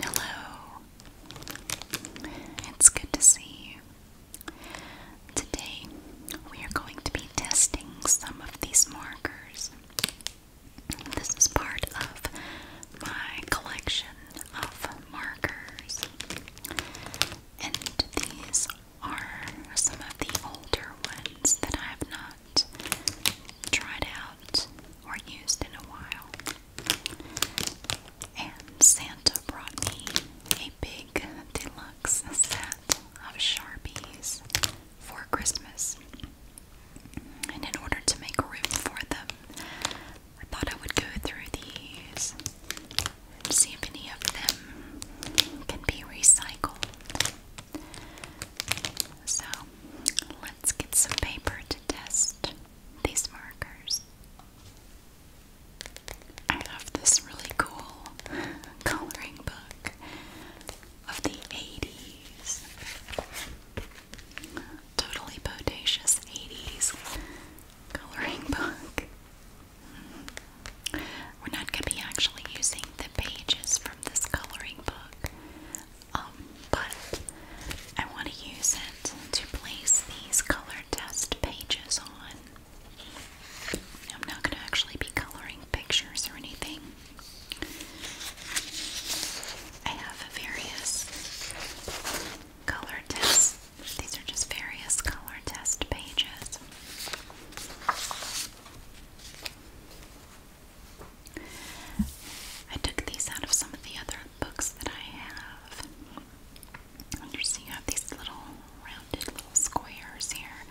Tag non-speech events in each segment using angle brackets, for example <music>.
Hello. It's good to see you. Today we are going to be testing some of these markers. This is part of my collection of markers. And these are some of the older ones that I have not tried out or used in a while. And Santa brought me a big deluxe set of Sharpies for Christmas. And in order to make room for them, I thought I would go through these and see if any of them can be recycled. So let's get some paper to test these markers. I have this really cool <laughs> coloring book of the 80s. Totally bodacious 80s coloring book. We're not going to be actually using the pages from this coloring book, um, but I want to use it to place these color test pages on. I'm not going to actually be coloring pictures or anything. I have various color tests. These are just various color test pages. I took these out of some of the other books that I have. you see, you have these little rounded little squares here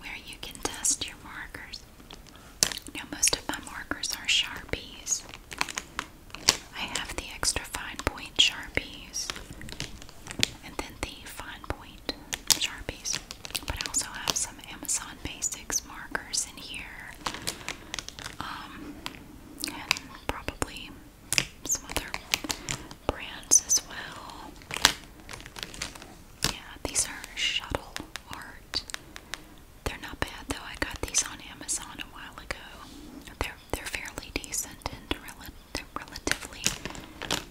where you can test your markers. Now, most of my markers are Sharpies. I have the extra fine point Sharpies and then the fine point Sharpies. But I also have some Amazon Basics markers in here. Um, and probably some other brands as well. Yeah, these are shuttle art. They're not bad though. I got these on Amazon a while ago. They're they're fairly decent and relatively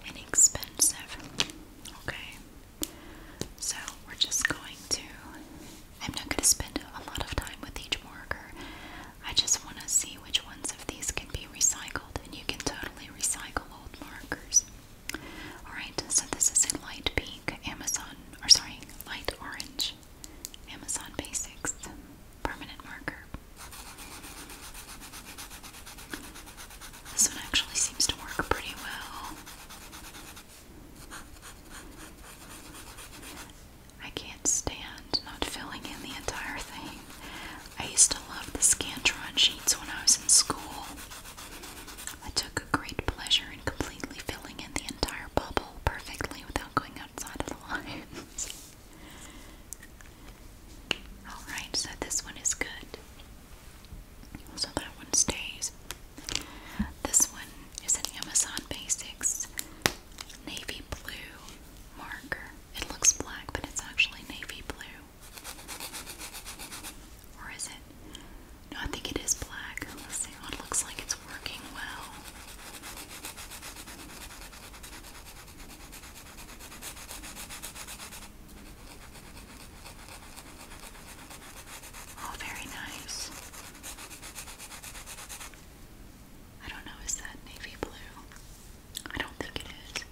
inexpensive. Okay, so we're just going to. I'm not going to spend a lot of time with each marker. I just want to see which ones of these can be recycled, and you can totally recycle old markers. Alright, so this is a light pink Amazon, or sorry, light orange Amazon Basics permanent marker. This one actually seems to work pretty well. I can't stand not filling in the entire thing. I used to love the Scantron sheets when I was in school. I took a great pleasure in completely filling in the entire bubble perfectly without going outside of the lines. <laughs> Alright, so this one is good. So that one stays. This one is an Amazon Basics navy blue marker. It looks black, but it's actually navy blue. Or is it? No, I think it is black. Let's see. it looks like it's working well. Oh, very nice. I don't know, is that navy blue? I don't think it is.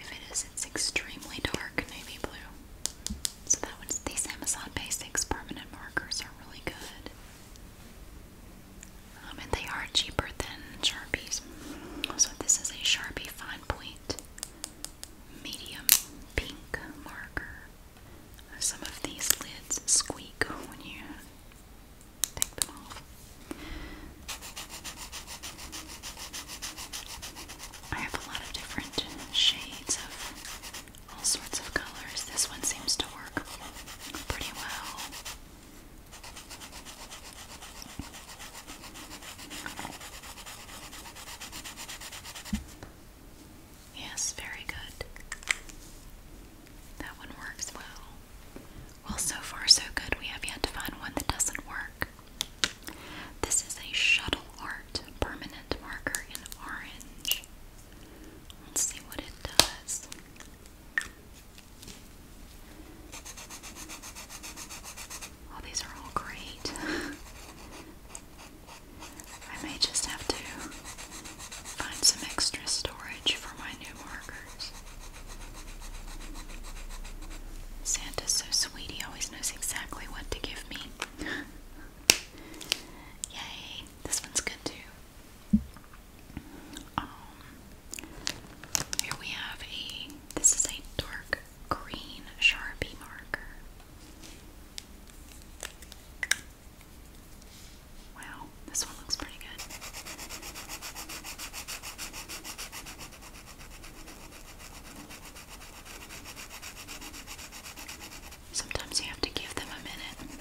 If it is, it's extremely dark navy blue. So that one's these Amazon Basics permanent markers are really good. Um, and they are cheaper than Sharpies. So this is a Sharpie fine point medium pink marker. Some of these lids squeak when you take them off. I have a lot of different shades of all sorts of colors. This one seems to work pretty well. Yes, very good. That one works well. Well, so far, so good. We have yet to find one that doesn't work. This is a Shuttle Art permanent marker in orange. Let's see what it does. Oh, these are all great. <laughs> I may just have to find some extra storage for my new markers. Santa's so sweet, he always knows exactly what to give me. <laughs> Yay, this one's good too. Um, here we have a, this is a dark green Sharpie marker. Wow, this one looks pretty good. Sometimes you have to give them a minute.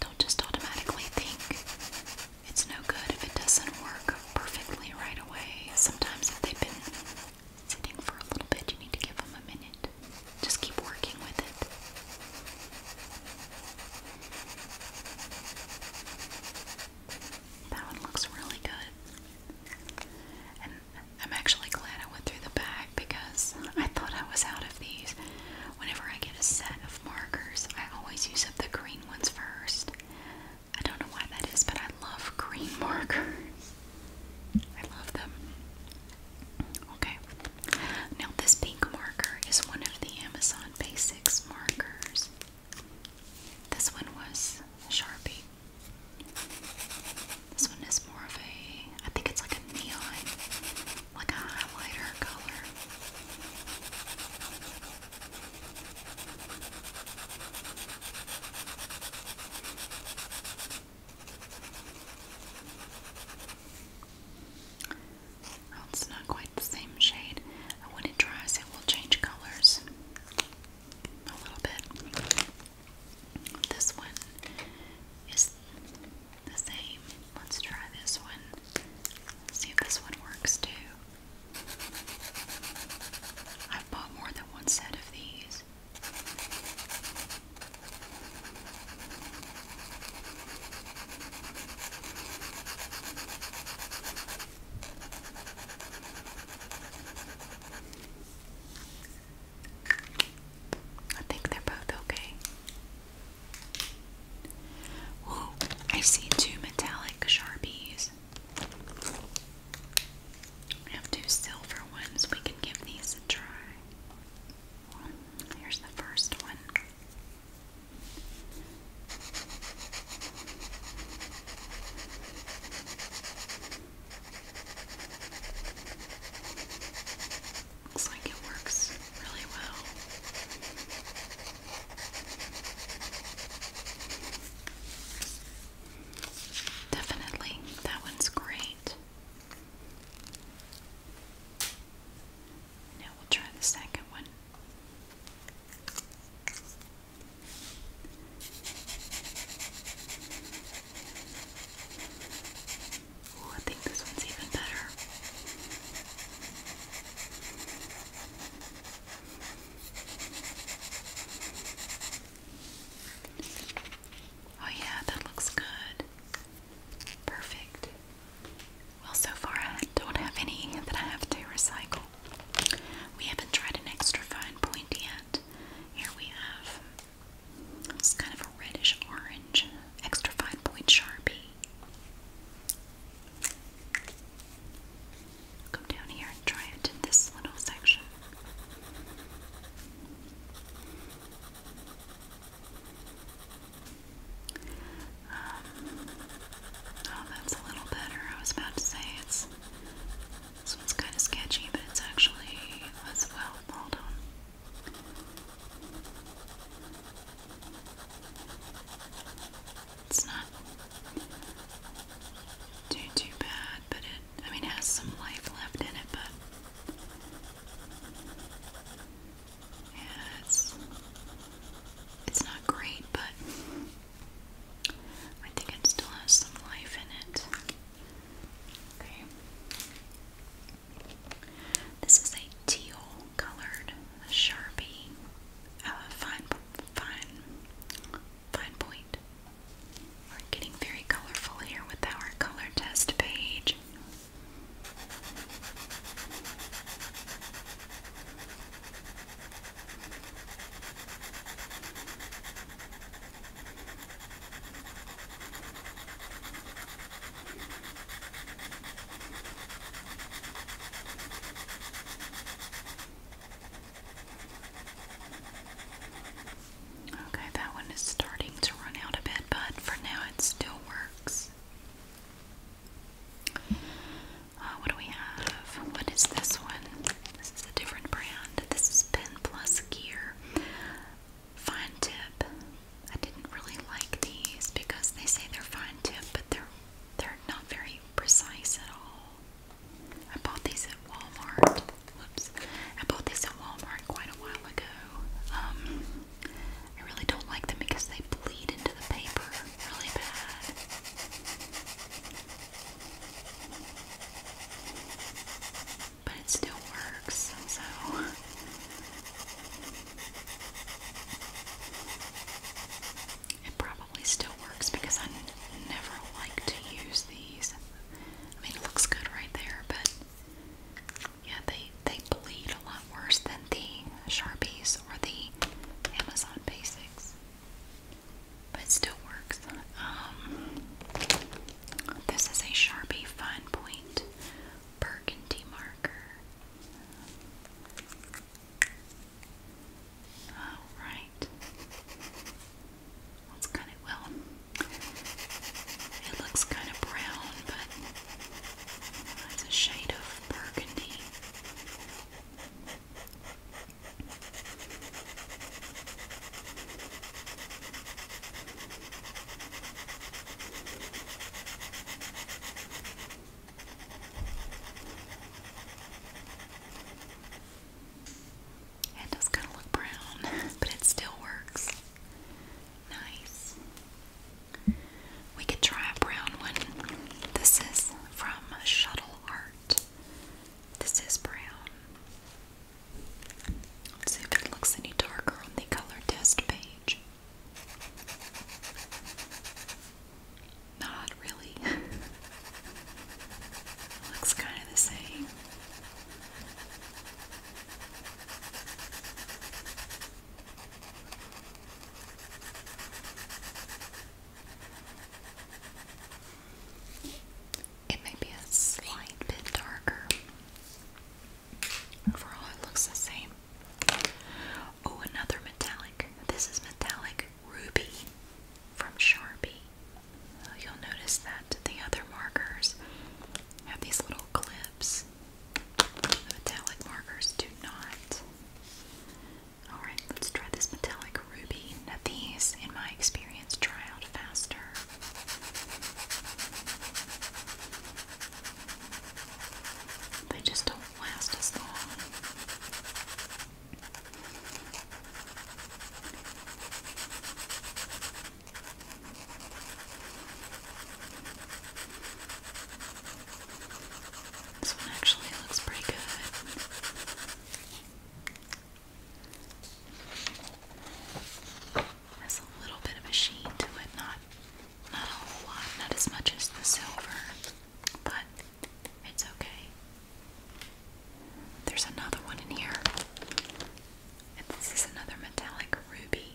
Don't just automatically think it's no good if it doesn't work perfectly right away. Sometimes if they've been sitting for a little bit, you need to give them a minute. Just keep working with it. That one looks really good. I'm actually glad I went through the bag because I thought I was out of these. Whenever I get a set of markers, I always use up the green ones first. I don't know why that is, but I love green <laughs> markers. I love them. Okay. Now this pink marker is one of the Amazon Basics markers. This one was Sharpie. This one is more of a I think it's like a neon, like a highlighter color it's not quite the same shade. When it dries, it will change colors a little bit. This one is the same. Let's try this one. See if this one works too. I've bought more than one set of these. I think they're both okay. Whoa, I see two metallic Sharpies. We have two silver ones. We can give these a try. Here's the first one. Looks like it works really well. Definitely, that one's great. Now we'll try the second one. Oh, I think this one's even better. Oh, yeah, that looks good. Perfect. Well, so far I don't have any that I have to recycle. We haven't tried an extra fine point yet. Here we have it's kind of a reddish orange extra fine point sharpie. Come down here and try it in this little section. Um, oh, that's a little better. I was about to say it's this one's kind of sketchy, but it's actually well. Hold on. It's not too too bad, but it I mean, it has some life left in it, but yeah, it's it's not great, but I think it still has some life in it. Okay. This is a teal colored Sharpie, uh, fine, fine, fine point we're getting very colorful here with our color test page. Okay, that one is starting to run out a bit, but for now it still works. Uh, what do we have? What is this one? This is a different brand. This is Pen Plus Gear. Fine tip. I didn't really like these because they say they're fine tip, but they're they're not very precise at all. I bought these at Walmart. Whoops. I bought these at Walmart quite a while ago. Um, I really don't like them because they bleed into the paper really bad. But it still works, so. It probably still works because I never like to use these. I mean, it looks good right there, but yeah, they they bleed a lot worse than the Sharpies or the Amazon Basics, but it still works. Um, this is a Sharpie fine point burgundy marker. All right. It's kind of, well, it looks kind of brown, but it's a shade of burgundy. It does kind of look brown, <laughs> but it still works. Nice. We could try a brown one. This is from Shuttle Art. This is brown. Let's see if it looks any darker on the color test page. Not really. <laughs> looks kind of the same. It may be a slight bit darker. Overall, it looks the same. Oh, another metallic. This is metallic ruby from Sharpie. You'll notice that the other markers have these little clips. metallic markers do not. Alright, let's try this metallic ruby. these, in my experience, dry out faster. They just don't last as long. This one actually looks pretty good. Has a little bit of a sheen to it, not not a whole lot, not as much as the silver, but it's okay. There's another one in here. And this is another metallic ruby.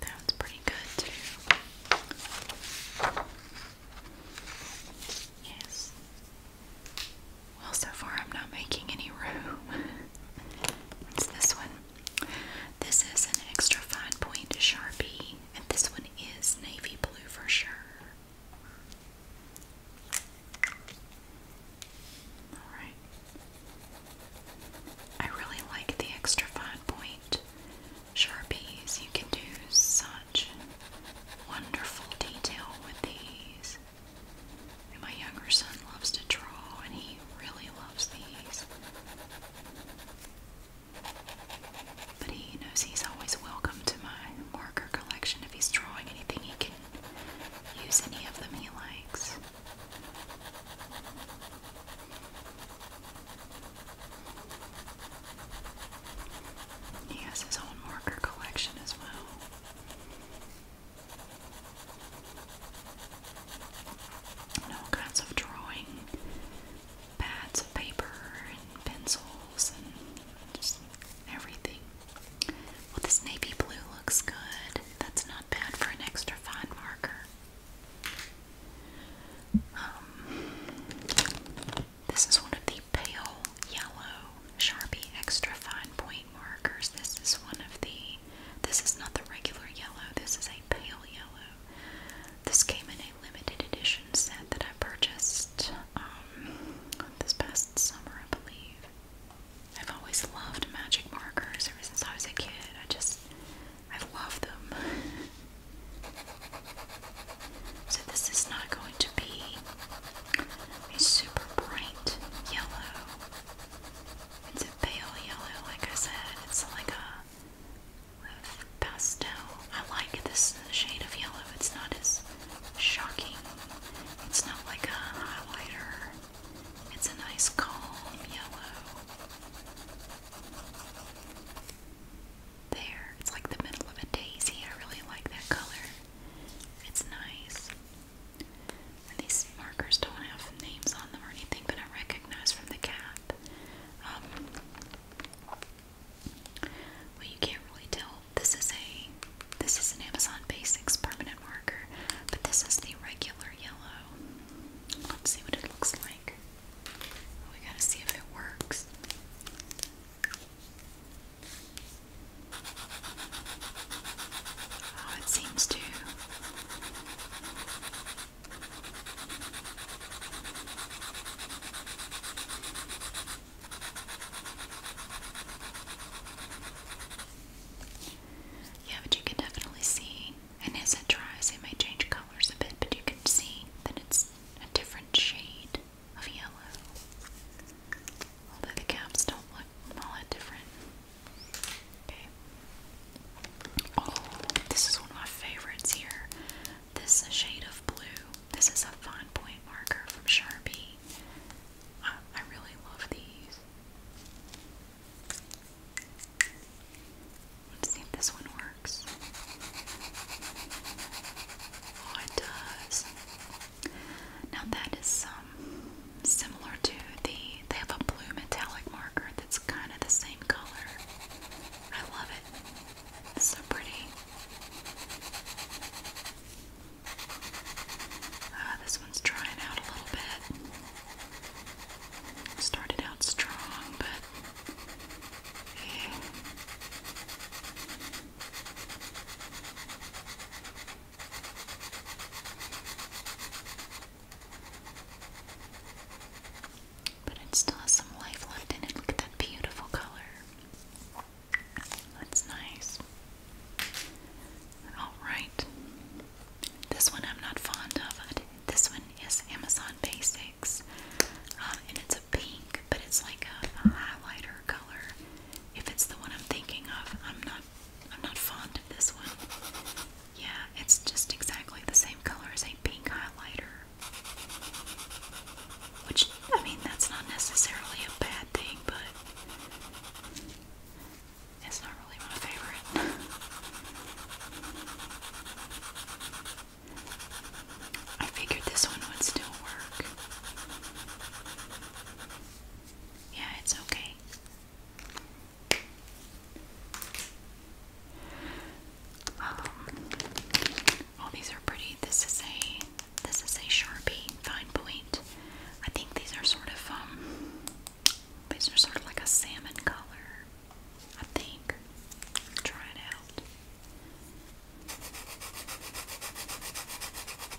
That's pretty good too. Yes. Well, so far I'm not making any room. <laughs> What's this one? This is an extra fine point Sharpie, and this one is navy blue for sure. Alright. I really like the extra fine point sharpies. You can do such wonderful detail with these. my younger son loves to draw, and he really loves these. But he knows he's always welcome to my marker collection. If he's drawing anything, he can use any of them he likes. He has his own marker collection as well. And all kinds of drawing pads of paper and pencils and just everything. Well, this navy blue looks good. That's not bad for an extra fine marker. Um, this is one of the pale yellow Sharpie extra fine point markers. This is one of the, this is not the regular yellow, this is a pale yellow. This came in a limited edition set that I purchased um, this past summer, I believe. I've always loved magic markers ever since I was a kid. I just, I love them. <laughs> so this is not going to be a super bright yellow. It's a pale yellow, like I said. It's like a, a pastel. I like this shade of yellow. It's not as shocking. It's not like a highlighter it's a nice calm yellow. There, it's like the middle of a daisy. I really like that color. It's nice. these markers don't have names on them or anything, but I recognize from the cat. Um, you can't really tell. This is a this is an Amazon Basics permanent marker, but this is the regular yellow. Let's see what it looks like. Oh, we gotta see if it works. Oh, it seems to. Yeah, but you can definitely see, and as it dries, it may change colors a bit, but you can see that it's a different shade of yellow. Although the caps don't look all that different. Okay. Oh, this is one of my favorites here. This is a shade of blue. This is a fine point marker from Sharpie. I really love these. Let's see if this one works. Oh, it does. Now that is um, similar to the, they have a blue metallic marker that's kind of the same color. I love it. It's so pretty. Ah, this one's drying out a little bit. Started out strong, but But it still has some life left in it. Look at that beautiful color. That's nice. Alright. This one I'm not fond of. This one is Amazon Basics. Um, and it's a pink, but it's like a highlighter color. If it's the one I'm thinking of, I'm not I'm not fond of this one. Yeah, it's just exactly the same color as a pink highlighter. Which I mean that's not necessarily a bad thing, but it's not really my favorite. I figured this one would still work. Yeah, it's okay. Um, these are pretty. This is a this is a Sharpie fine point. I think these are sort of um these are sort of like a salmon color, I think. Try it out.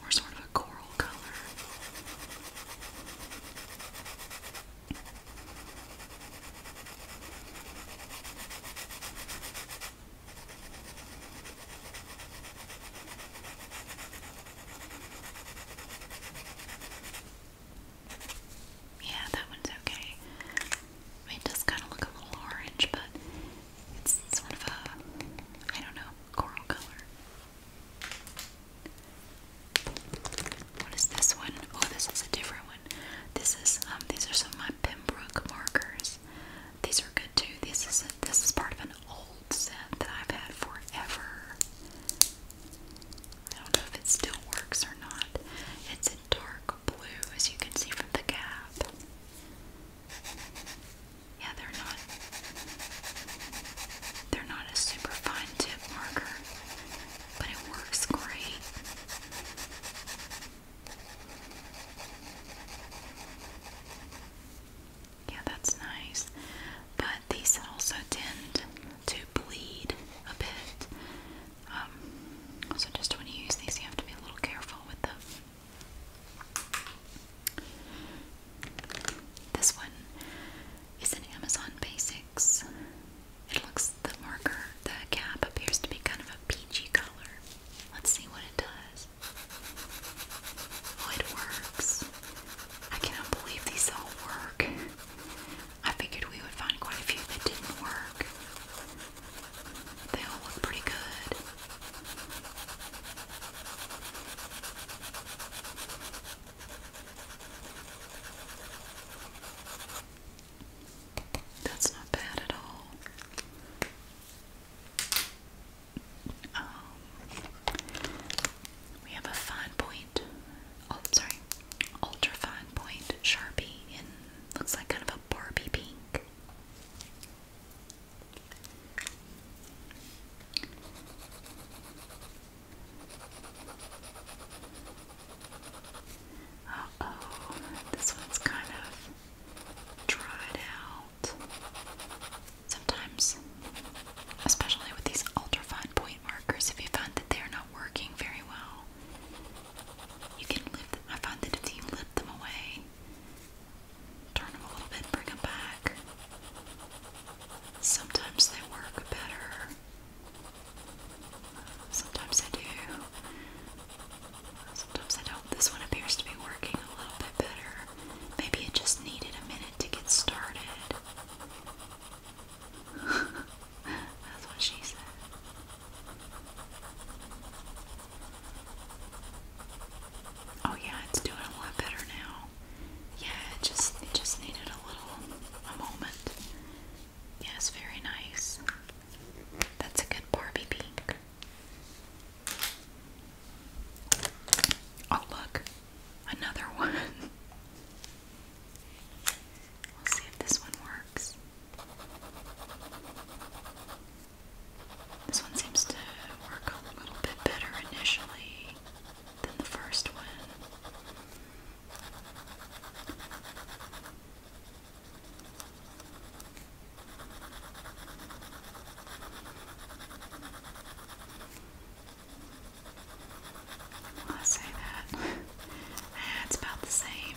Or sort of a coral color. Yeah, that one's okay. it does kind of look a little orange, but it's sort of a, I don't know, coral color. What is this one? Oh, this is a different one. This is um these are some of my Pembroke markers. These are good too. This is this is part of an old old that I've had forever. I don't know if it still works or not. It's a dark blue, as you can see from the cap. Yeah, they're not. They're not a super fine tip marker, but it works great. Yeah, that's nice. But these also tend to bleed a bit. Um, so just when you use these, you have to be a little careful with them. This one is an Amazon Basics. It looks, the marker, the cap appears to be kind of a peachy color. Let's see what it does. Oh, it works. I cannot believe these all work. I figured we would find quite a few that didn't work. They all look pretty good. That's not bad at all. Um, we have a fine point oh sorry, ultra fine point Sharpie in looks like kind of a Barbie pink. Uh oh, this one's kind of dried out. Sometimes, especially with these ultrafine point markers, if you find that they are not working very well, you can lift them. I find that if you lift them away, turn them a little bit, bring them back, sometimes they work better. Sometimes they do. Sometimes I don't. This one appears to be working a little bit better. Maybe it just needed a minute to get started. That's what she said. Oh yeah, it's doing a lot better now. Yeah, it just it just needed a little a moment. Yeah, it's very nice. That's a good Barbie pink. Oh look, another <laughs> one. We'll see if this one works. This one seems to work a little bit better initially than the first one. I say that. <laughs> Eh, it's about the same.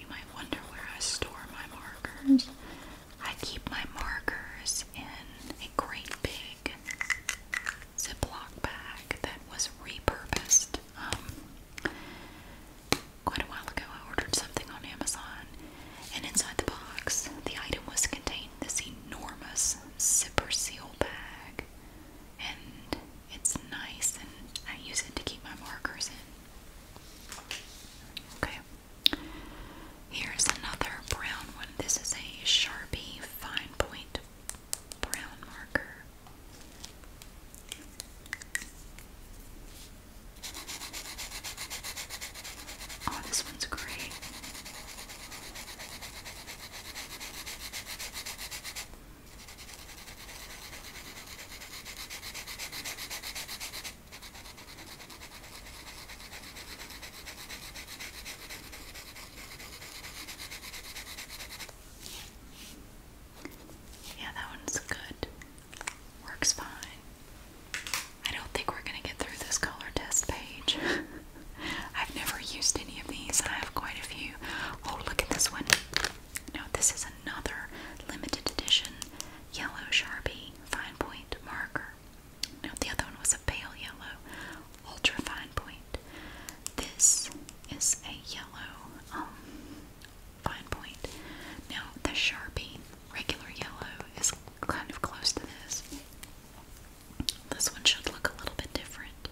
You might wonder where I store my markers. I keep my markers in a great big Ziploc bag that was repurposed. Um, Quite a while ago, I ordered something on Amazon, and inside the box, the item was contained this enormous zipper seal bag. And it's nice, and I use it to keep my markers in. Okay. Here's another brown one. This is a Sharpie fine point brown marker. Oh, this one's great. Yeah, that one's good. Works fine. I don't think we're going to get through this color test page. <laughs> I've never used any of these, and I have quite a few. Oh, look at this one. No, this is another limited edition yellow Sharpie fine point marker. No, the other one was a pale yellow ultra fine point. This is a yellow um, fine point. Now, the Sharpie regular yellow is kind of close to this. This one should look a little bit different.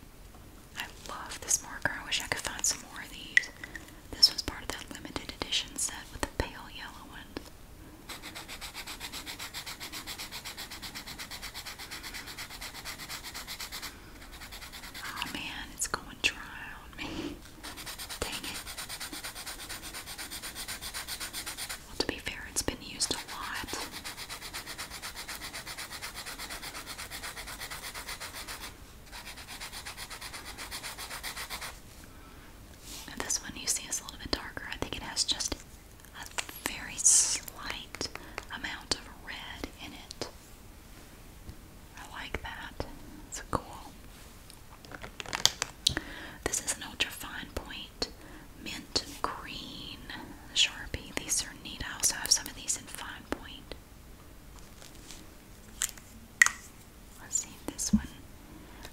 I love this marker. I wish I could find some more of these. This was part of that limited edition set with the pale yellow one. Oh man, it's going dry on me. <laughs> Dang it. Well, to be fair, it's been used a lot. this one you see is a little bit darker. I think it has just a very slight amount of red in it. I like that. It's cool. This is an ultra fine point mint green Sharpie. These are neat. I also have some of these in fine point. Let's see if this one.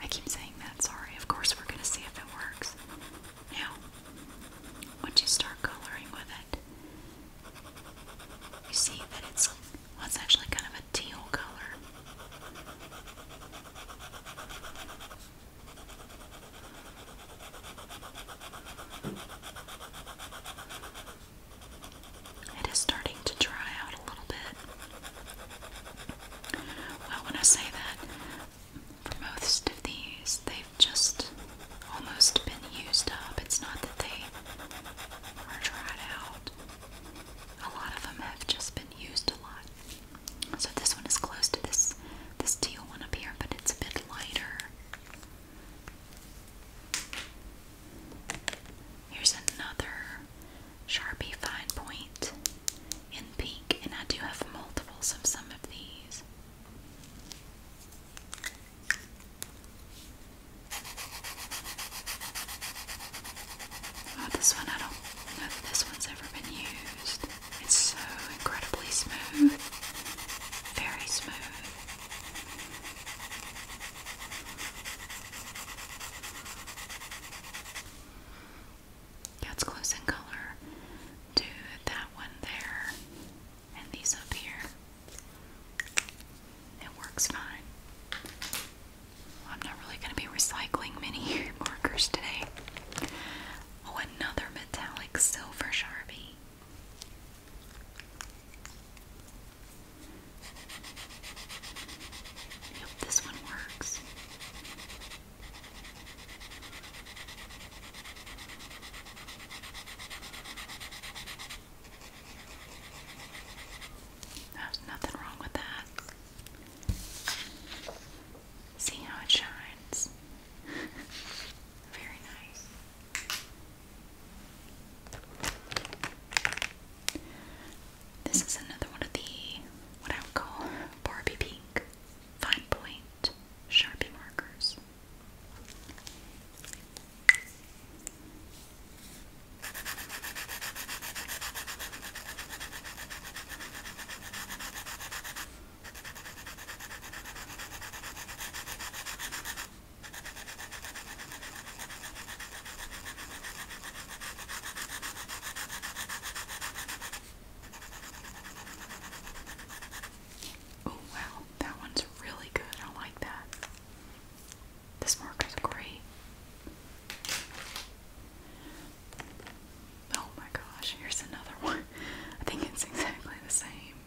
I keep saying that, sorry. Of course, we're going to see if it works. Now, once you start coloring with it, you see that it's, well, it's actually kind of a teal color. It is starting to dry out a little bit. Well, when I say that, for most of these, they've just almost been used up. It's not that they are dried out. A lot of them have just been used a lot. So this one is close to this this teal one up here, but it's a bit lighter. Here's another Sharpie fine point in pink, and I do have multiples of some of these. Oh, this one, I don't know this one's ever been used. It's so incredibly smooth. Very smooth. Yeah, it's close in color to that one there and these up here. It works fine. I'm not really going to be recycling many <laughs> markers today. Oh, another metallic silver Sharpie. Yep, this one works. There's nothing wrong with that. See how it shines. <laughs> Very nice. This is another one of the what I would call Barbie Pink fine point Sharpie markers. Oh wow, that one's really good. I like that. This marker is great. Oh my gosh, here's another <laughs> one. I think it's exactly the same.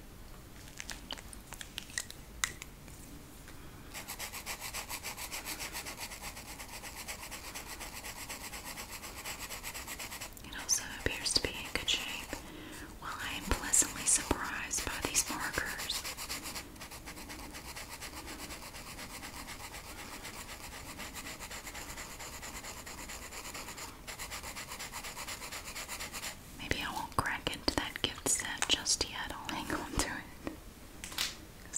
It also appears to be in good shape. Well, I am pleasantly surprised by these markers. Maybe I won't crack into that gift set just yet. I'll hang on to it.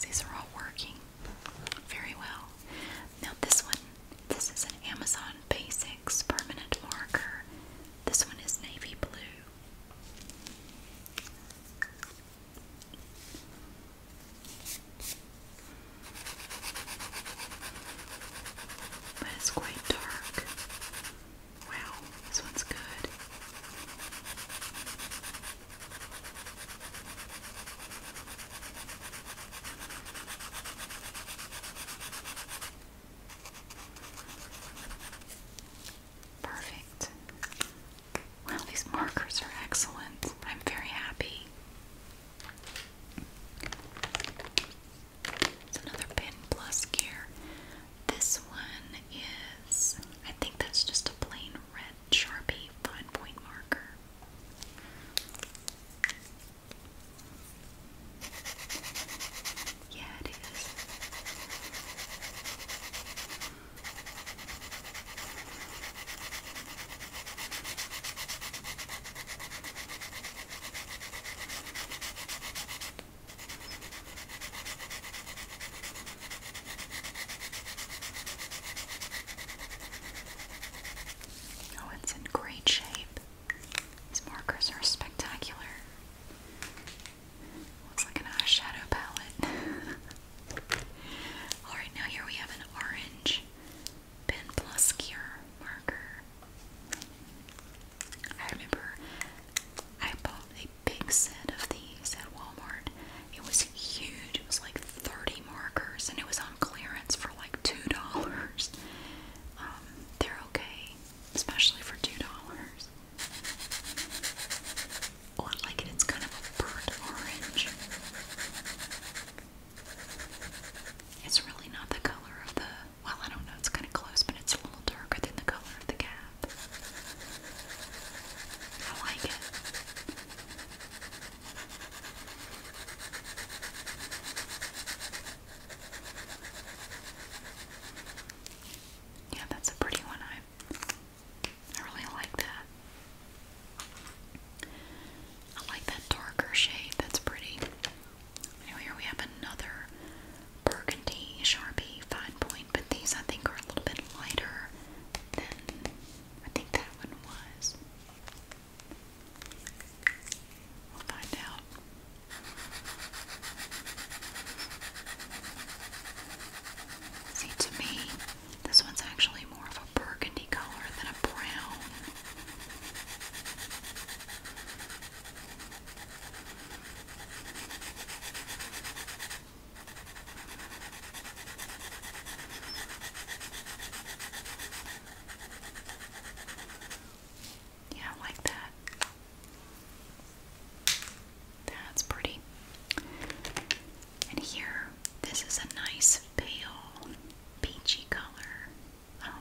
these are all working very well. Now, this one, this is an Amazon Basics permanent marker. This one is navy blue. But it's quite dark. Wow, this one's good. Perfect. Well, these markers are excellent. I'm very happy. It's another pen plus gear. This one is, I think that's just a plain red Sharpie fine point marker. Yeah, it is. Oh, it's in great shape. These markers are spectacular. Looks like an eyeshadow palette. <laughs> Alright, now here we have an orange Pen Plus Cure marker. I remember I bought a big set of these at Walmart. It was huge, it was like 30 markers, and it was on clearance for like $2. <laughs> Um, they're okay, especially for $2 or like it's kind of a burnt orange. It's really not the color of the, well, I don't know, it's kind of close, but it's a little darker than the color of the cap. I like it. Yeah, that's a pretty one. I I really like that. I like that darker shade. That's pretty. here we have another burgundy Sharpie fine point, but these I think are a little bit lighter than I think that one was. We'll find out. See, to me, this one's actually more of a burgundy color than a brown. Yeah, like that. That's pretty. And here, this is a nice pale peachy color, um,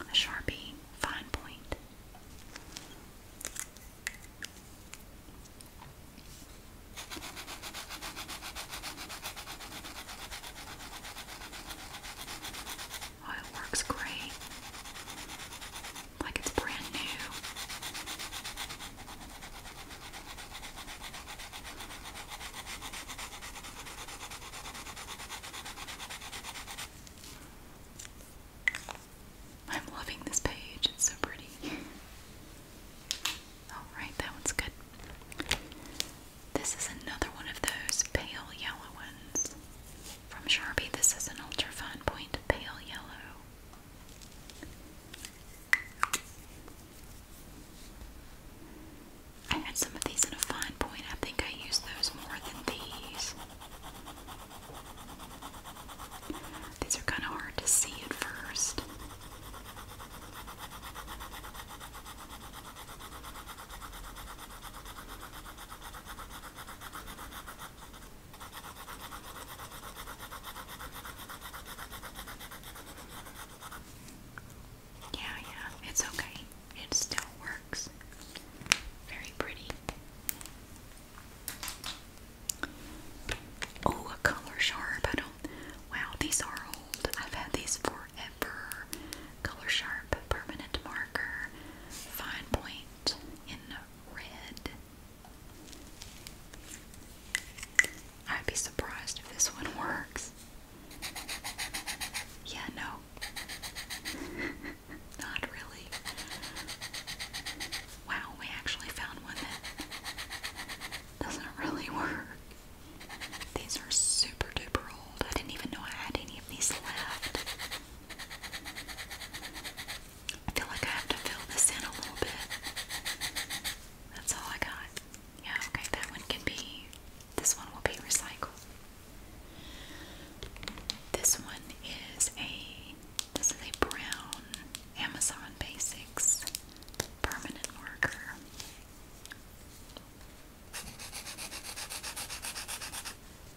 a Sharpie fine point. Oh, it works great. Like it's brand new. I'm loving this page, it's so pretty. Alright, that one's good. This is another one of those pale yellow ones from Sharpie. This is an ultra fine point pale yellow. I had some of these in a fine point. I think I used those more than these. These are kind of hard to see at first. Yeah, yeah, it's okay. It still works. Very pretty. Oh, a color sharp. Wow, these are old. I've had these forever. Color sharp permanent marker. Fine point in red. I'd be surprised if this one works. Yeah, no. <laughs> Not really. Wow, we actually found one that doesn't really work. These are super duper old. I didn't even know I had any of these left. I feel like I have to fill this in a little bit. That's all I got. Yeah, okay, that one can be, this one will be recycled. This one is a, this is a brown Amazon Basics permanent marker.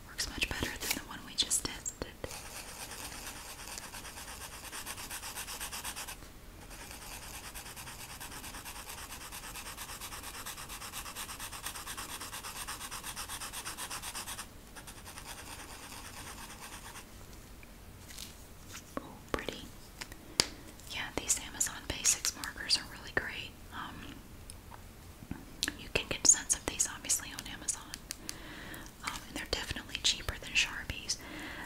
Works much better than the one we just tested. Oh, pretty. Yeah, these Amazon Basics markers are really great. Um, you can get a sense of these obviously on Amazon. Um, and they're definitely cheaper than Sharpies.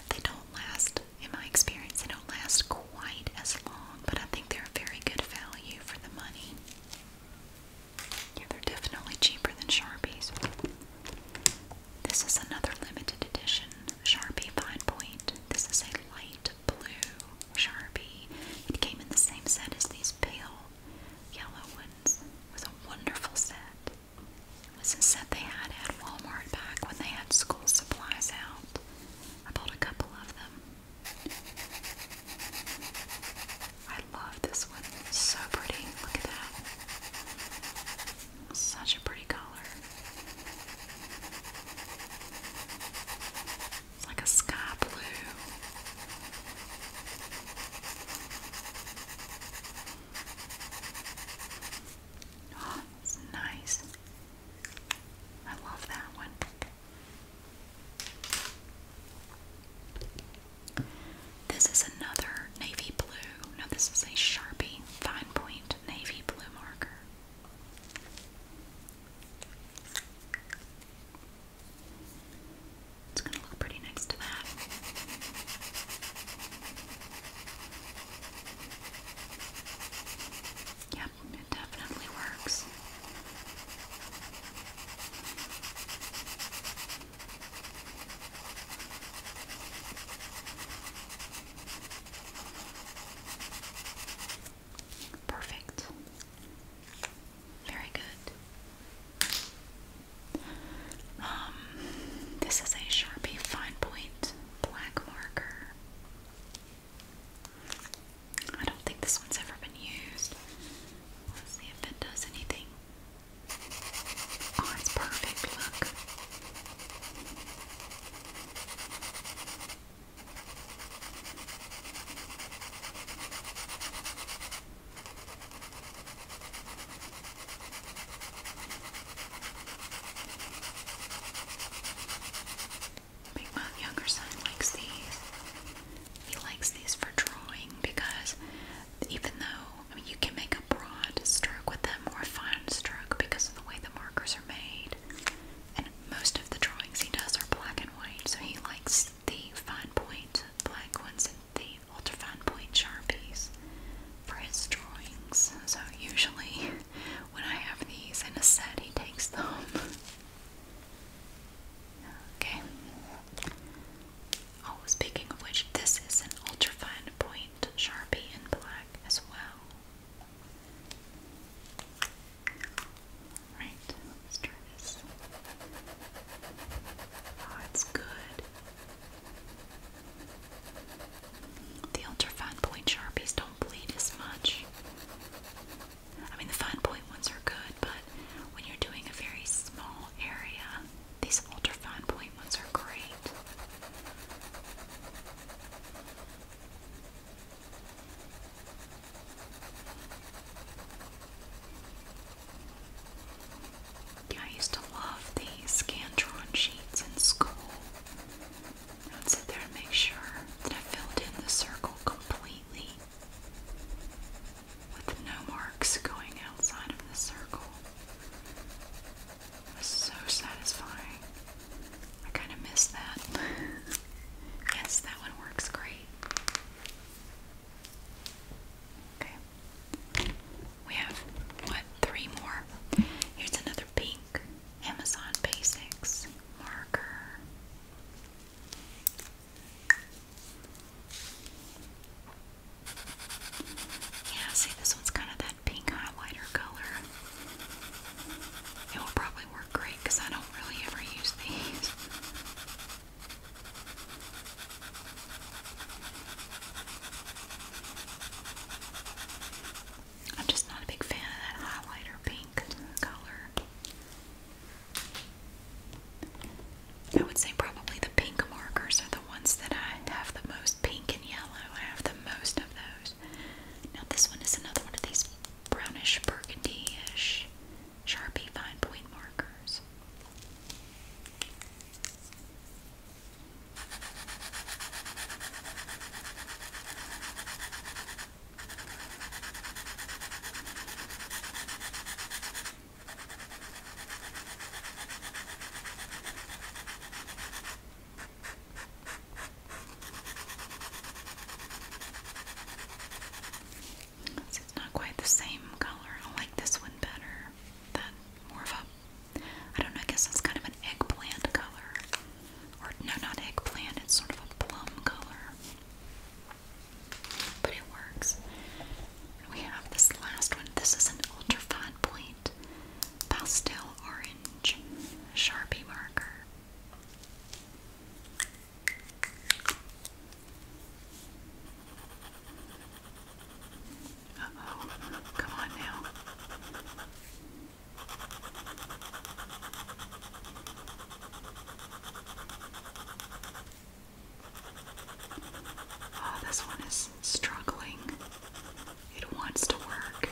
They don't last in my experience, they don't last quite as long, but I think they're a very good value for the money. Yeah, they're definitely cheaper than Sharpies. This is another limited edition Sharpie Fine Point. This is a light blue Sharpie. It came in the same set as these pale yellow ones. It was a wonderful set was not said they had at Walmart back when they had school supplies out. I bought a couple of them. I love this one. so pretty. Look at that. Such a pretty color. It's like a sky blue. Oh, it's nice. I love that one. This is another navy blue. No, this is a Sharpie fine point navy blue marker. It's going to look pretty next to that. Yep, it definitely works. Perfect. Very good. Um, this is a Sharpie fine point black marker. I don't think this one's ever been used. Let's see if it does anything. Oh, it's perfect. Look. Big my younger son likes these. He likes these for drawing because even though I mean you can make a broad stroke with them or a fine stroke because of the way the markers are made. And most of the drawings he does are black and white, so he likes the fine point black ones and the ultra fine point sharpies for his drawings. So usually when I have these in a set, he takes them. Okay. Oh, speaking of which, this is an ultrafine point sharpie in black as well. Right, let's try this. Oh, it's good. The ultra fine point sharpies don't bleed as much. I mean, the fine point ones are good, but when you're doing a very small area, these ultra fine point ones are great. Yeah, I used to love these Scantron sheets in school. I'd sit there and make sure that I filled in the circle completely with no marks going outside of the circle. It was so satisfying. I kind of missed that. <laughs> yes, that one works great. Okay. We have, what, three more? Here's another pink. Amazon Basics marker. Yeah, see, this one's kind of that pink highlighter color. It will probably work great because I don't really ever use these. I'm just not a big fan of that highlighter pink color. I would say probably the pink markers are the ones that I have the most pink and yellow. I have the most of those. Now this one is another one of these brownish burgundy-ish Sharpie fine point markers. So it's not quite the same color. I like this one better. That more of a I don't know, I guess it's kind of an eggplant color or no, not eggplant, it's sort of a plum color. But it works. We have this last one. This is an ultra fine point pastel orange Sharpie marker. oh, come on now. Oh, this one is struggling. It wants to work.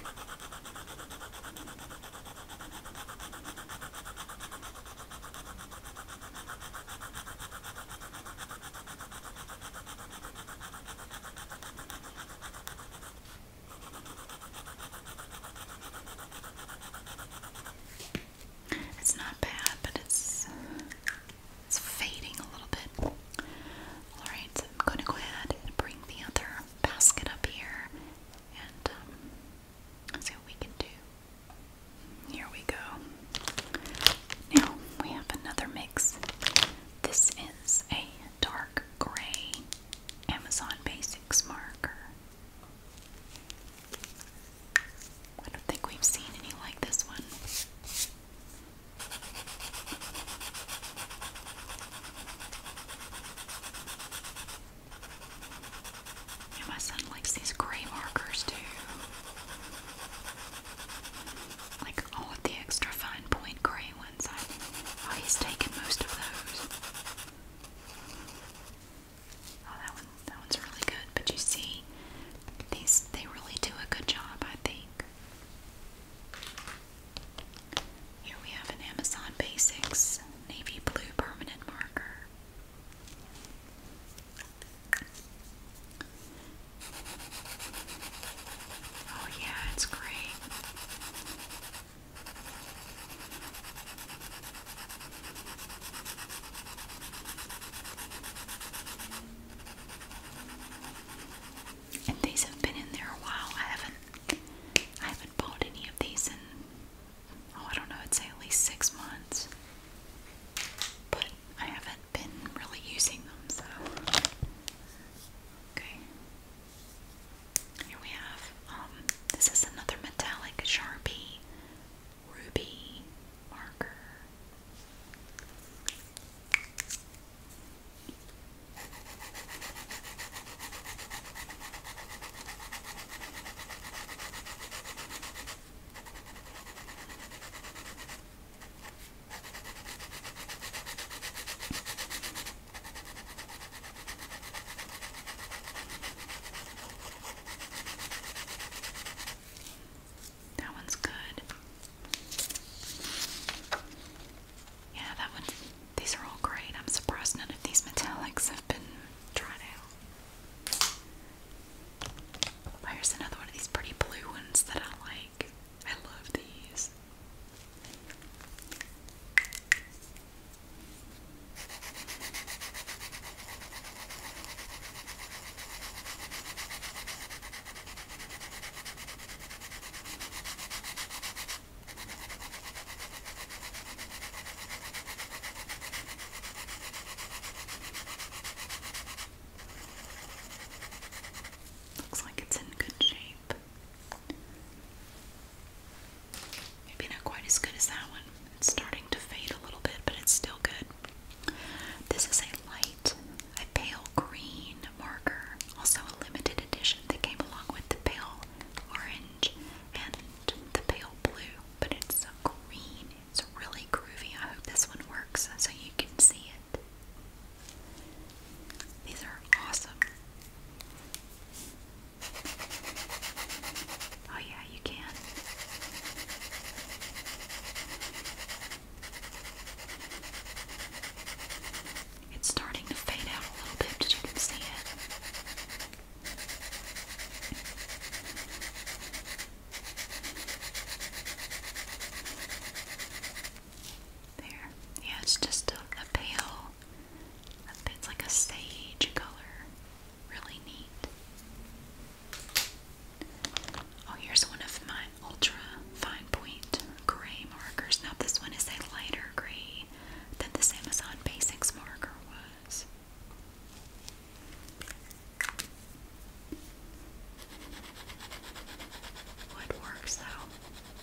It's not bad, but it's it's fading a little bit. All right, I'm going to go ahead and bring the other basket up here and um, see what we can do. Here we go. Now we have another mix. This is a dark gray Amazon Basics marker. I don't think we've seen any like this one. Yeah, my son likes these gray markers too. Like all of the extra fine point gray I, oh, he's taken most of those. Oh, that one, that one's really good. But you see, these they really do a good job, I think. Here we have an Amazon Basics navy blue permanent marker. Oh yeah, it's great. And these have been in there a while. I haven't I haven't bought any of these and oh I don't know, I'd say at least six months. But I haven't been really using them, so okay. Here we have, um, this is another metallic Sharpie Ruby marker. That one's good. Yeah, that one. These are all great. I'm surprised none of these metallics have been tried out. here's another one of these pretty blue ones that I like. I love these. Looks like it's in good shape. Maybe not quite as good as that one. It's starting to fade a little bit, but it's still good. This is a light, a pale green marker, also a limited edition that came along with the pale orange and the pale blue, but it's a green. It's really groovy. I hope this one works so you can see it. These are awesome. Oh, yeah, you can. It's starting to fade out a little bit, but you can see it. There. Yeah, it's just a, a pale it's like a sage color. Really neat. Oh, here's one of my ultra fine point gray markers. Now, this one is a lighter gray than this Amazon Basics marker was. Woodworks, though.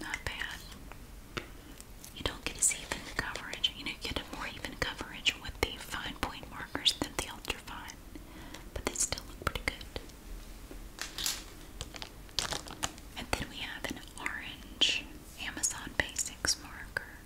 Not bad. You don't get as even coverage. You know, you get a more even coverage with the fine point markers than the ultrafine, but they still look pretty good. And then we have an orange Amazon Basics marker.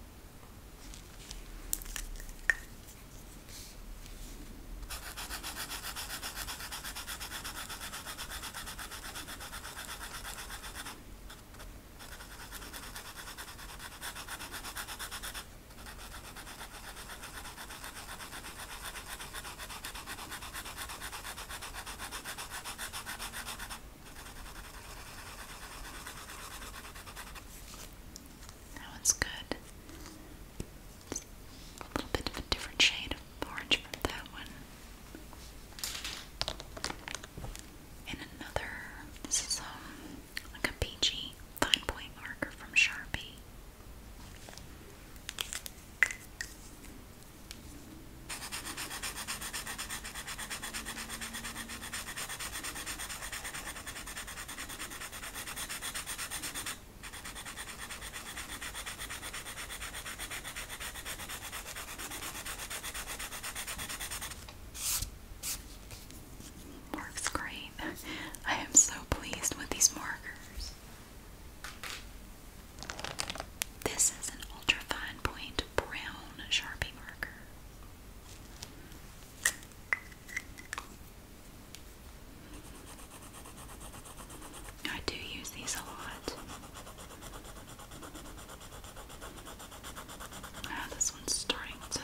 That one's good a little bit of a different shade of orange from that one. And another, this is um, like a peachy fine point marker from Sharpie. Works great. <laughs> I am so pleased with these markers. This is an ultra fine point brown Sharpie marker. I do use these a lot. Ah, this one's starting to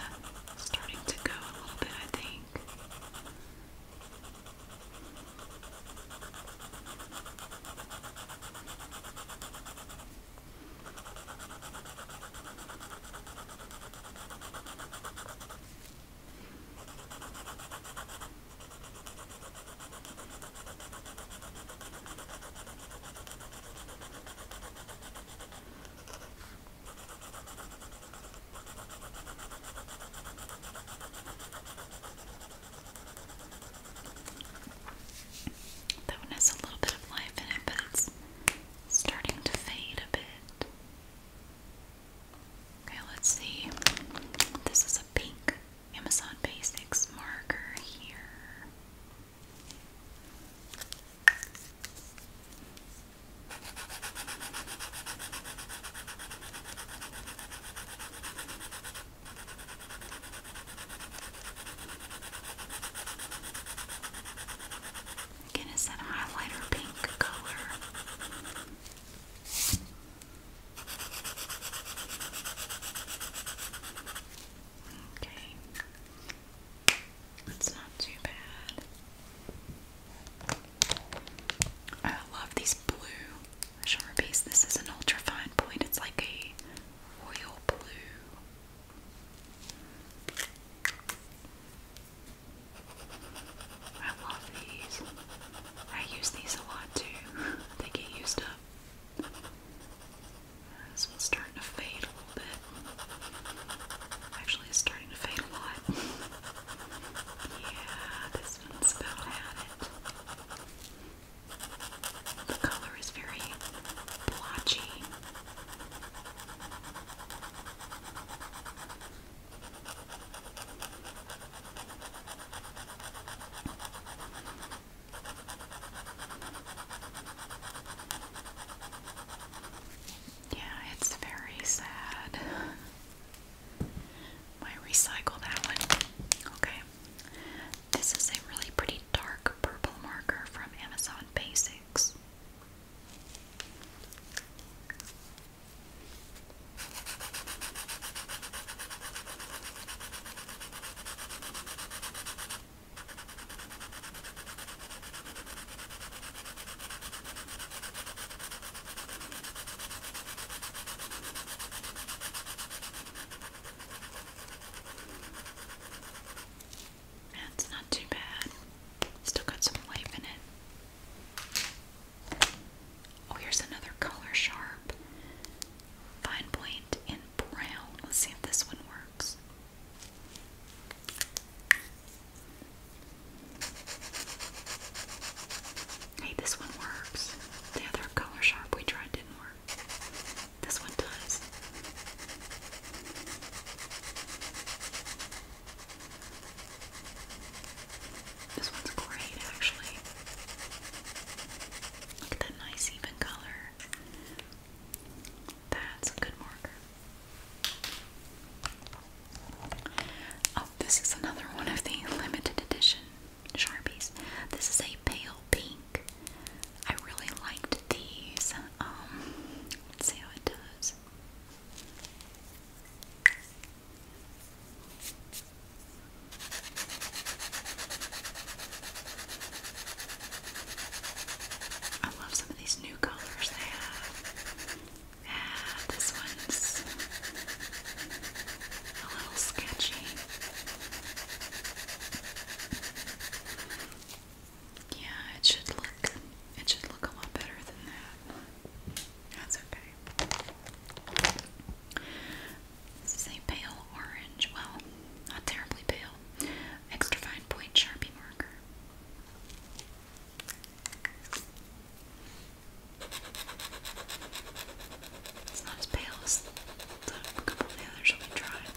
starting to go a little bit, I think. That one has a little bit of life in it, but it's starting to fade a bit. Okay, let's see. This is a pink Amazon Basics marker here. Again, it's that highlighter pink color. Okay. It's not too bad. I love these blue sharpies. This is an ultra fine point. It's like a royal blue. I love these. I use these a lot too. <laughs> they get used up. This one's starting to fade a little bit. Actually, it's starting to fade a lot. <laughs> yeah, this one's about at it. The color is very blotchy. Yeah, it's very sad. I recycle that one. Okay. This is a really pretty dark purple marker from Amazon Basics. That's not too bad. Still got some life in it. Oh, here's another color sharp. Fine point in brown. Let's see if this one works. Hey, this one works. The other color sharp we tried didn't work. This one does. This one's great, actually. Look at that nice even color. That's a good marker. Oh, this is another one of the limited edition Sharpies. This is a pale pink. I really liked these. Um, let's see how it does. I love some of these new colors they have. Yeah, this one's a little sketchy. Yeah, it should look it should look a lot better than that. That's okay. This a pale orange, well, not terribly pale, extra fine point Sharpie marker. It's not as pale as the of the others we tried.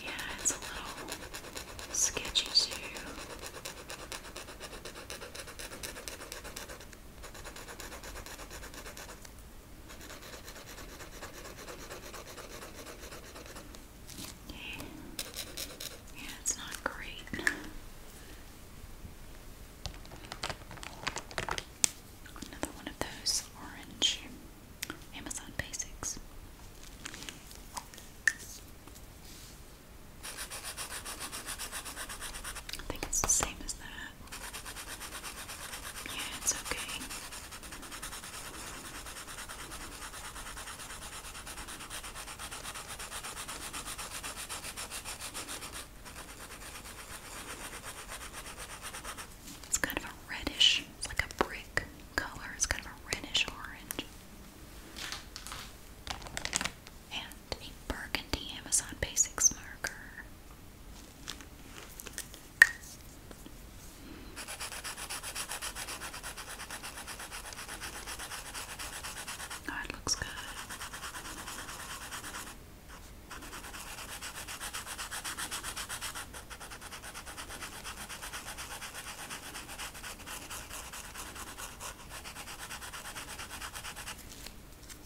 Yeah, it's a little sketchy too. Okay. Yeah, it's not great. Another one of those orange Amazon basics. I think it's the same as that. Yeah, it's okay. It's kind of a reddish, it's like a brick color, it's kind of a reddish orange and a burgundy Amazon Basics marker. Oh, looks good.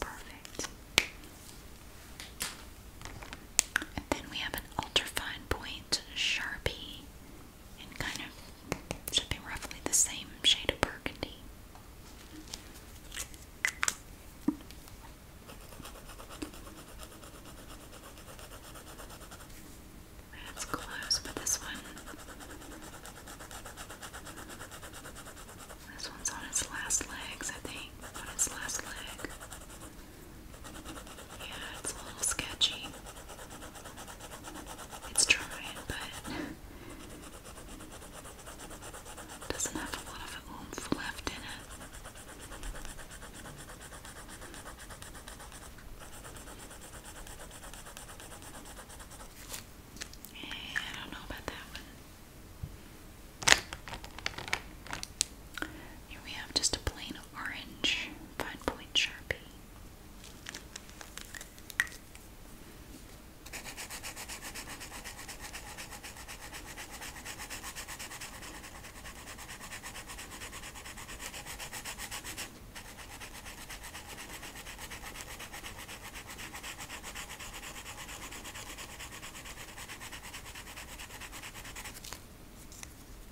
Perfect. And then we have an ultrafine point sharpie and kind of should be roughly the same shade of burgundy. My hands but this one. This one's on its last legs, I think. On its last leg. Yeah, it's a little sketchy. It's trying, but doesn't have a lot of oomph left in it. Eh, I don't know about that one. Here we have just a plain orange fine point sharpie.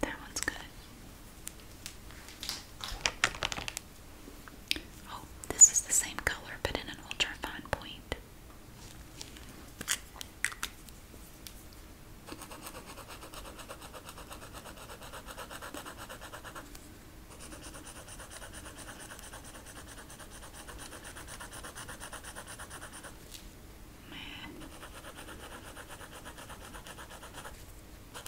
That one's good. Oh, this is the same color but in an ultra fine point. Man. I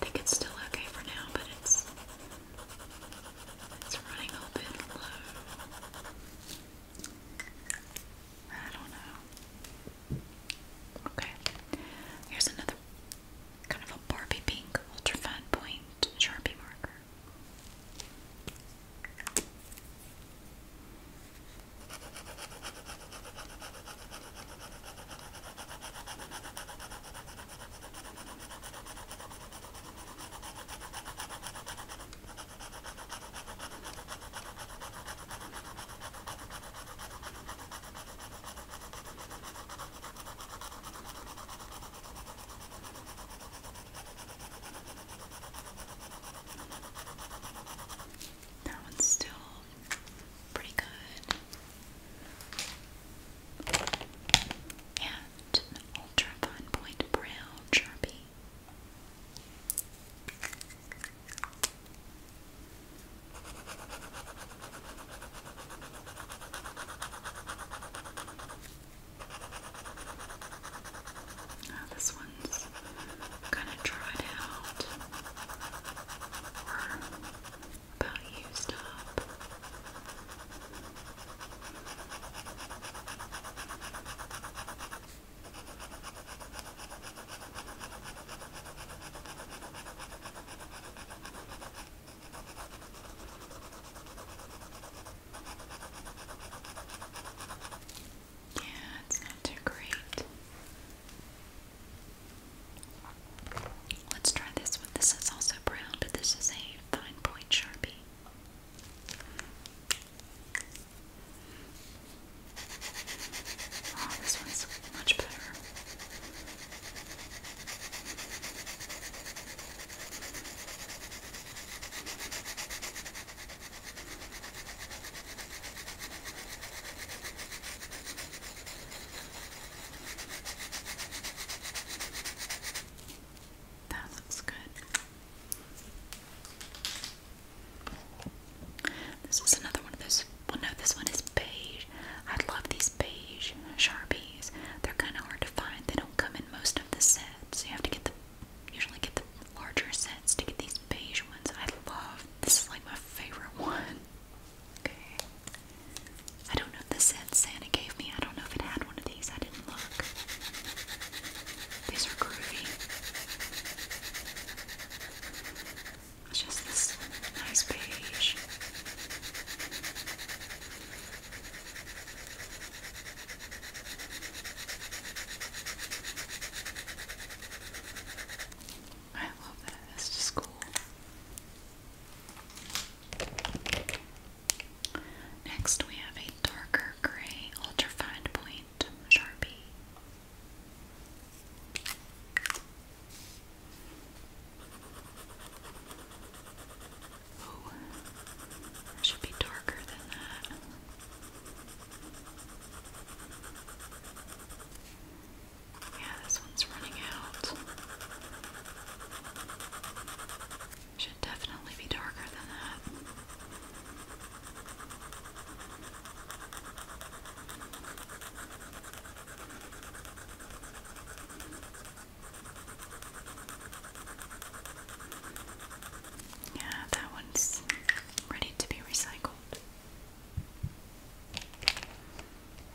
think it's still okay for now, but it's it's running a bit low. I don't know. Okay. Here's another kind of a Barbie pink ultra fine point Sharpie marker. That one's still pretty good and an point brown Sharpie. Oh, this one's kind of dried out or about used up. Yeah, it's not too great. Let's try this one. This is also brown, but this is a fine point sharpie. Oh, this one's much better. That looks good. This is another one of those. Well, no, this one is beige. I love these beige Sharpies. They're kind of hard to find. They don't come in most of the sets. You have to get the usually get the larger sets to get these beige ones. I love. This is like my favorite <laughs> one. Okay. I don't know if this set Santa gave me. I don't know if it had one of these. I didn't look. These are groovy. It's just this nice beige. I love that. That's just cool. Next, we have a darker gray ultrafine point Sharpie. should be darker than that. Yeah, this one's running out. Should definitely be darker than that. Yeah, that one's ready to be recycled.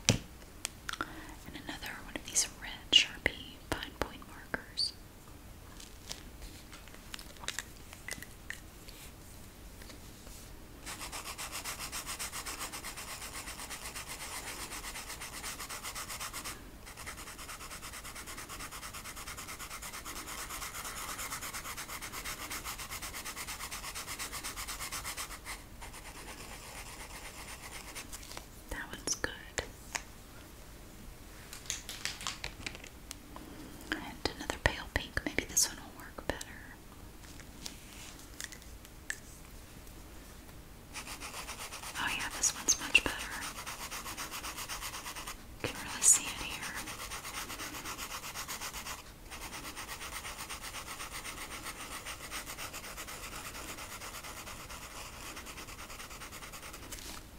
And another one of these red Sharpie fine point markers. That one's good. And another pale pink. Maybe this one will work better. Oh, yeah, this one's much better. You can really see it here.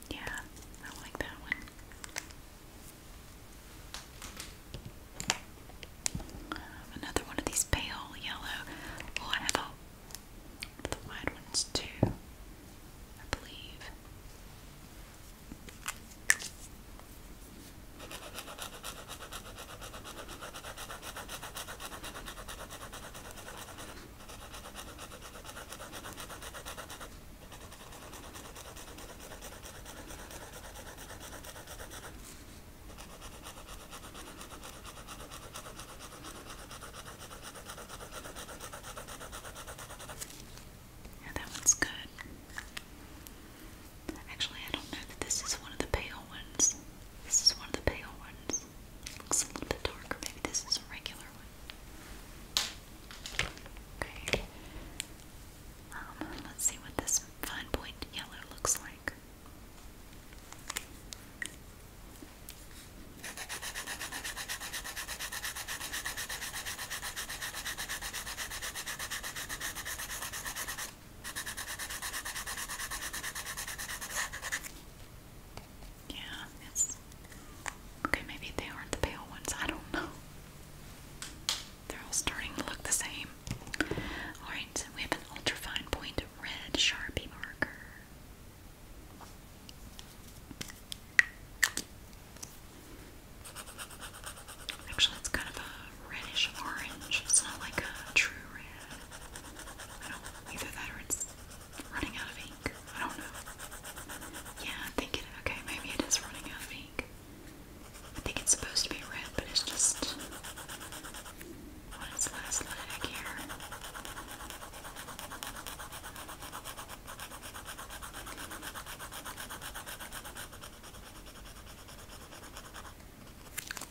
Yeah, I like that one. Um, another one of these pale yellow. Oh, I the wide ones too, I believe. Yeah, that one's good. Actually, I don't know that this is one of the pale ones. This is one of the pale ones. Looks a little bit darker. Maybe this is a regular one. Okay. Um, let's see what this fine point yellow looks like. Yeah, it's okay. Maybe they aren't the pale ones. I don't know. They're all starting to look the same. All right, we have an ultrafine point red Sharpie marker. Actually, it's kind of a reddish orange. It's not like a true red. I don't, either that it's running out of ink. I don't know. Yeah, I think Okay, maybe it is running out of ink. I think it's supposed to be red, but it's just on last leg here.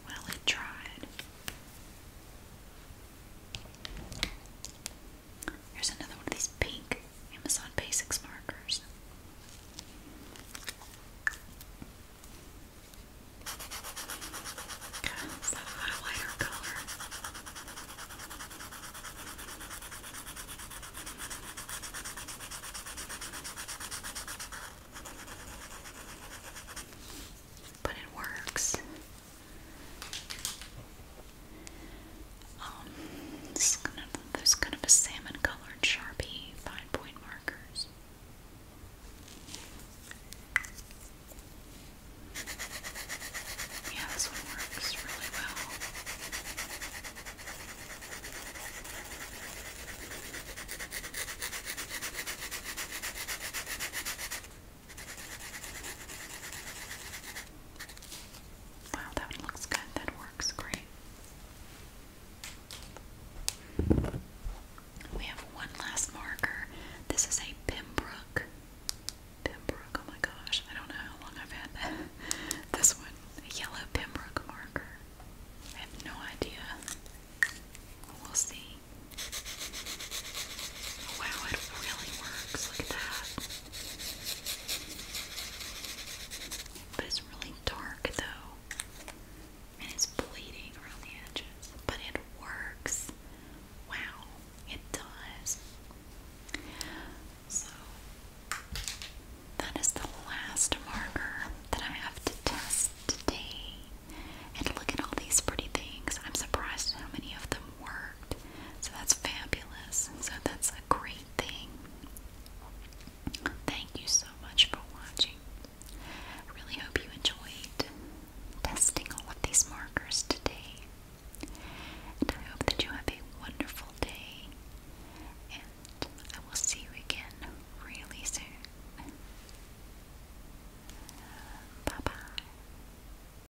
Well, it tried. Here's another one of these pink Amazon Basics markers. Okay, it's that highlighter color. But it works. Um, this is kind of a salmon-colored Sharpie fine-point markers. Yeah, this one works really well. Wow, that looks good. That works great. We have one last marker. This is a Pembroke. Pembroke, oh my gosh. I don't know how long I've had that. <laughs> This one, a yellow Pembroke marker. I have no idea. We'll see. Oh, wow, it really works. Look at that. But it's really dark though. And it's bleeding around the edges. But it works. Wow, it does. So that is the last marker that I have to test today. And look at all these pretty things. I'm surprised how many of them worked. So that's fabulous. So that's a great thing. Thank you so much for watching. really hope you enjoyed testing all of these markers today. And I hope that you have a wonderful day. And I will see you again really soon. Bye bye.